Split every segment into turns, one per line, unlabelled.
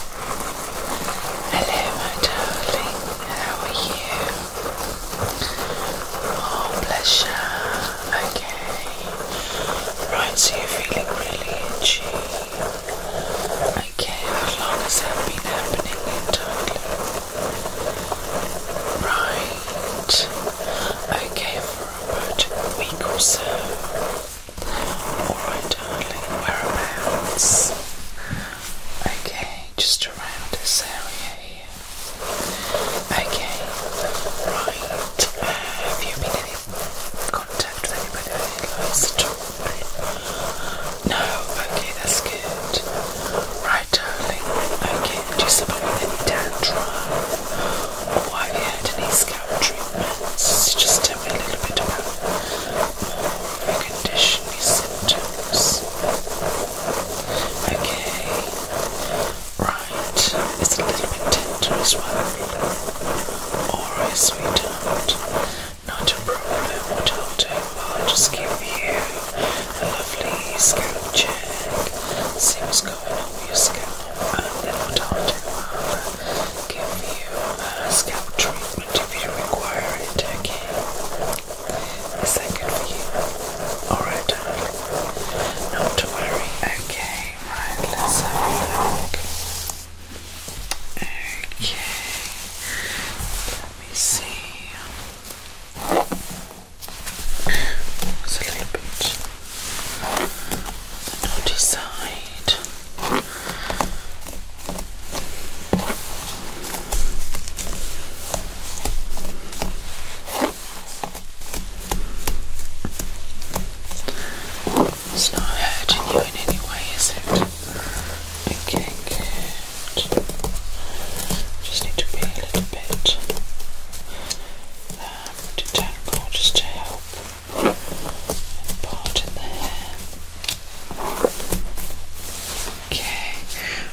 Hello, my darling. How are you? Oh, pleasure. Okay. Right, so you're feeling really itchy. Okay, how long has that been happening darling? Right. Okay, for about a week or so. Alright, darling, whereabouts? Okay, just around this area here. Okay, right. Uh, have you been in contact with anybody with any lights at No, okay, that's good. Right, darling, okay, do you suffer with any dandruff? Or have you had any scalp treatments? Just tell me a little bit about condition these symptoms. Okay. Right. It's a little bit tender as well. Alright, sweetheart. Not a problem. What I'll do, i just give you a lovely scalp check. See what's going on with your scalp. And then what I'll do, I'll give you scalp treatment if you require it, okay? Is that good for you? Alright, darling. Not to worry. Okay, right, let's have a look. Okay. Let me see. It's a little bit on the naughty it's not hurting you in any way, is it? Okay, good. Just need to be a little bit um, just to help Okay,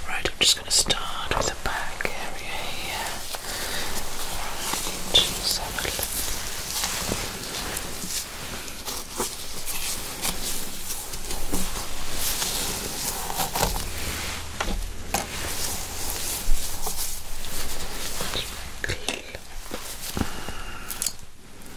right, I'm just going to start with the back area here. Right, just have a look.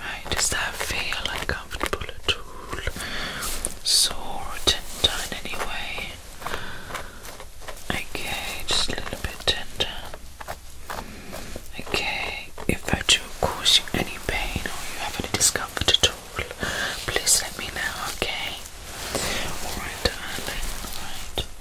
Right, does that feel uncomfortable at all? Sore or tender in any way? Okay, just a little bit tender. Okay, if I do cause you any pain or you have any discomfort at all, please let me know, okay? Alright, darling, alright.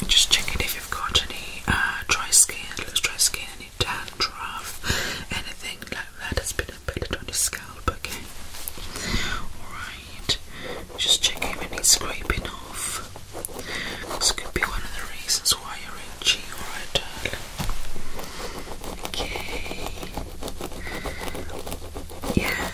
And just check it if you've got any uh, dry skin, looks dry skin, any dandruff, anything like that has been embedded on your scalp, okay? Alright, just check if any scraping off. This could be one of the reasons why you're itchy or a dog. Okay. Yeah.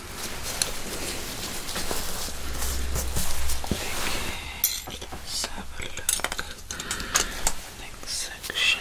Okay, let have a look. Next section.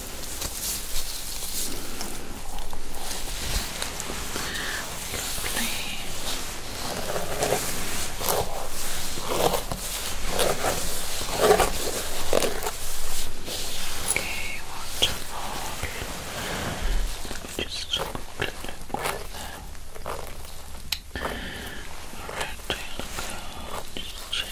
Okay, wonderful. Just quickly look right Alright, there we go. Just check.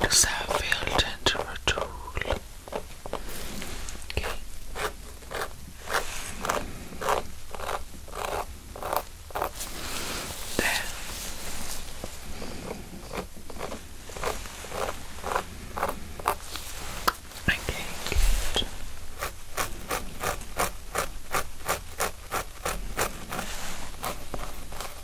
the Saville Gentle Tool. Okay. There. Okay, good.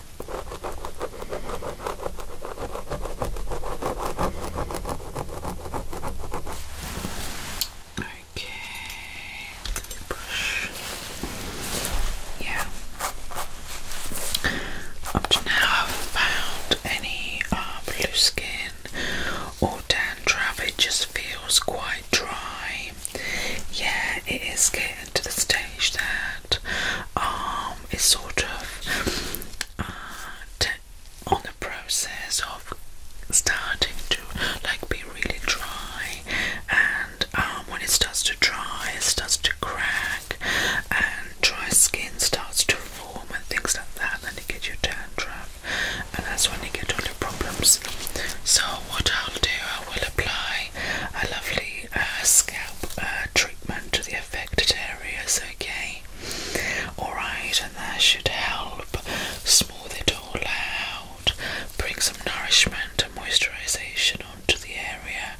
Okay, let Yeah. Up to now, I have found any uh, blue skin or dandruff. It just feels quite dry yeah, it is getting to the stage that um it's sort of uh, on the process of starting to like be really dry, and um, when it starts to dry, it starts to crack, and dry skin starts to form and things like that, and you get your dandruff, and that's when you get all the problems. So what I'll do, I will apply a lovely uh, scalp uh, treatment to the affected areas, okay? Alright, and that should help smooth it all out, bring some nourishment and moisturisation onto the area,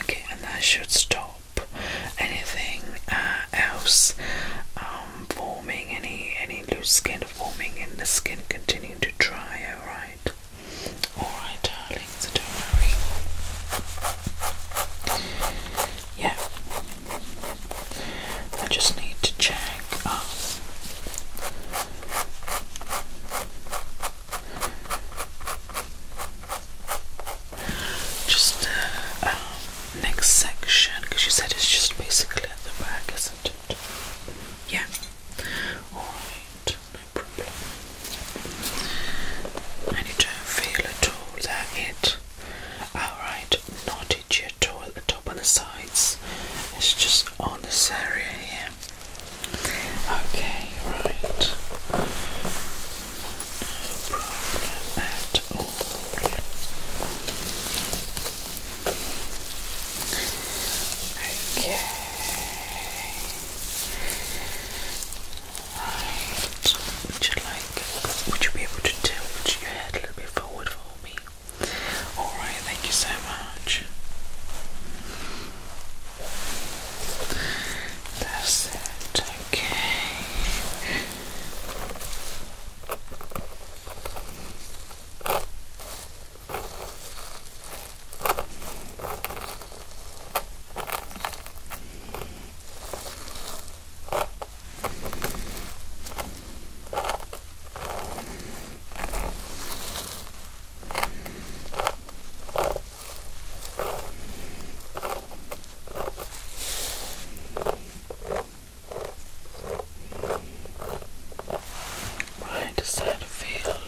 okay? And that should stop anything uh, else um, forming, any, any loose skin forming and the skin continuing to dry, alright? Alright, darling, so don't worry. Yeah. I just need to check. Um, just uh, um, next section, because you said it's just basically at the back, isn't it? Yeah. Alright, and you don't feel at all that it alright, not itchy at all the top and the sides. It's just on this area here. Okay, right. problem at all. Okay. Would you like? Would you be able to tilt your head a little bit forward for me? All right. Thank you so much. That's it. Okay. Right side of field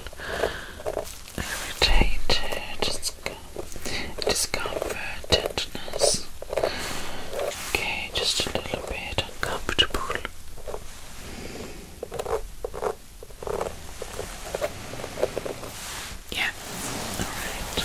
irritated, discomfort, tenderness. Okay, just a little bit uncomfortable. Yeah, alright.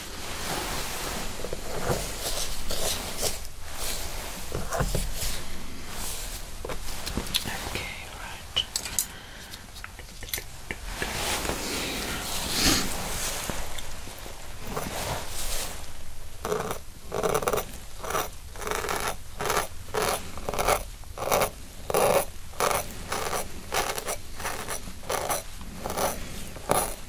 Okay, right. Okay.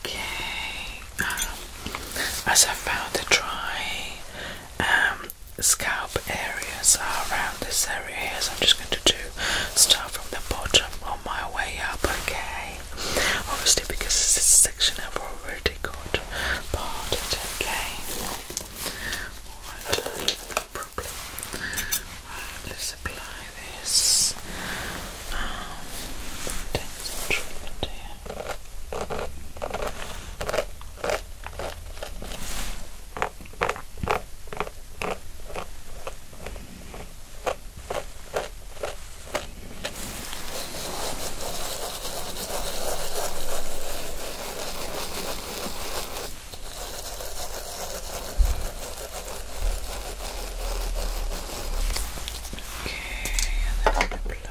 Okay, um, as I found the dry um, scalp areas are around this area here, so I'm just going to do start from the bottom on my way up, okay? Obviously, because this section I've already got parted, okay? Alright, no problem. Right, apply this. Um, treatment here. Okay. Okay, and then I'm going to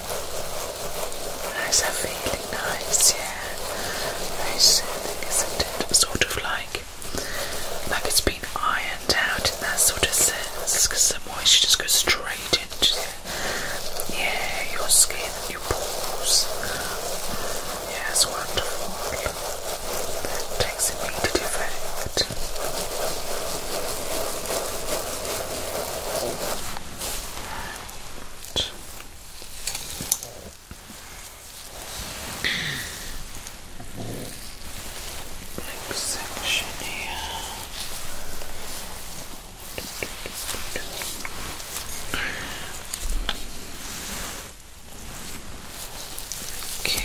How's that feeling? Nice, yeah. Very soothing, isn't it? Sort of like, like it's been ironed out in that sort of sense, because the moisture just goes straight into yeah, your skin, your pores. Yeah, wonderful. It takes immediate effect. Next section here. Okay.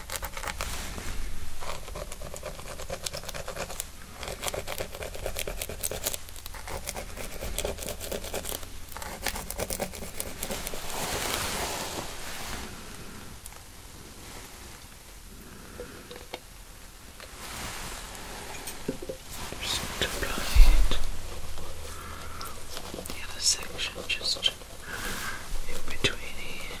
Just apply it. The other section just in between here.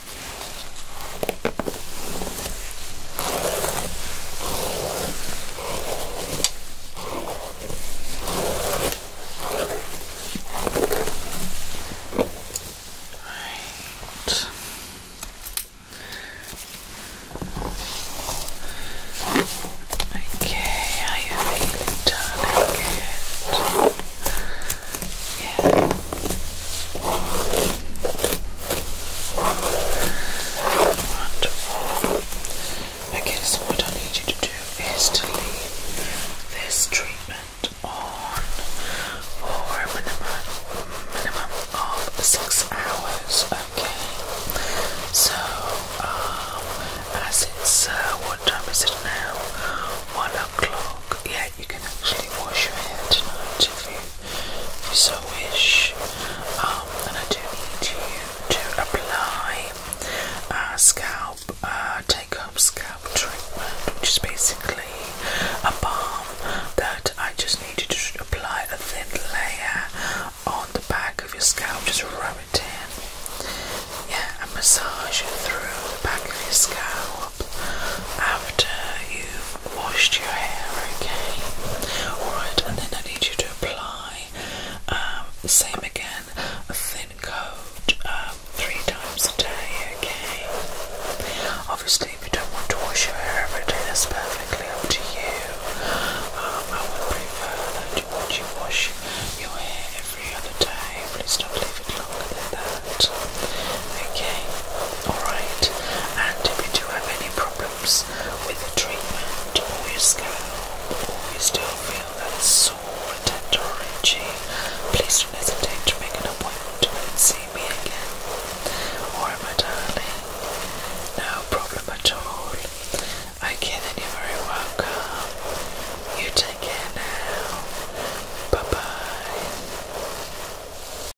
Right. Okay, are you feeling darling? Good. Yeah. I guess what I need you to do is to leave this treatment on for a minimum, minimum of six hours. Okay. So, um, as it's uh, what time is it now? One o'clock. Yeah, you can actually wash your hair tonight if you so wish. Um, and I do need you to apply a scalp, take up scalp treatment, which is basically a balm that I just need you to apply a thin layer on the back of your scalp, just rub it in. Yeah, and massage it through the back of your scalp after you've washed your hair, okay? Alright, and then I need you to apply um, same again, a thin coat um, three times a day, okay? Obviously, if you don't want to wash your hair every day, that's perfectly up to you. Um, I would prefer that you, wash your hair every other day, please don't leave it longer than that, okay? Alright, and if you do have any problems with the treatment or your scalp, or you still feel that sore, tender, or itchy, please don't hesitate to make an appointment to see me again. Or, my darling, no problem at all. Okay, then you're very welcome. You take care now. Bye bye.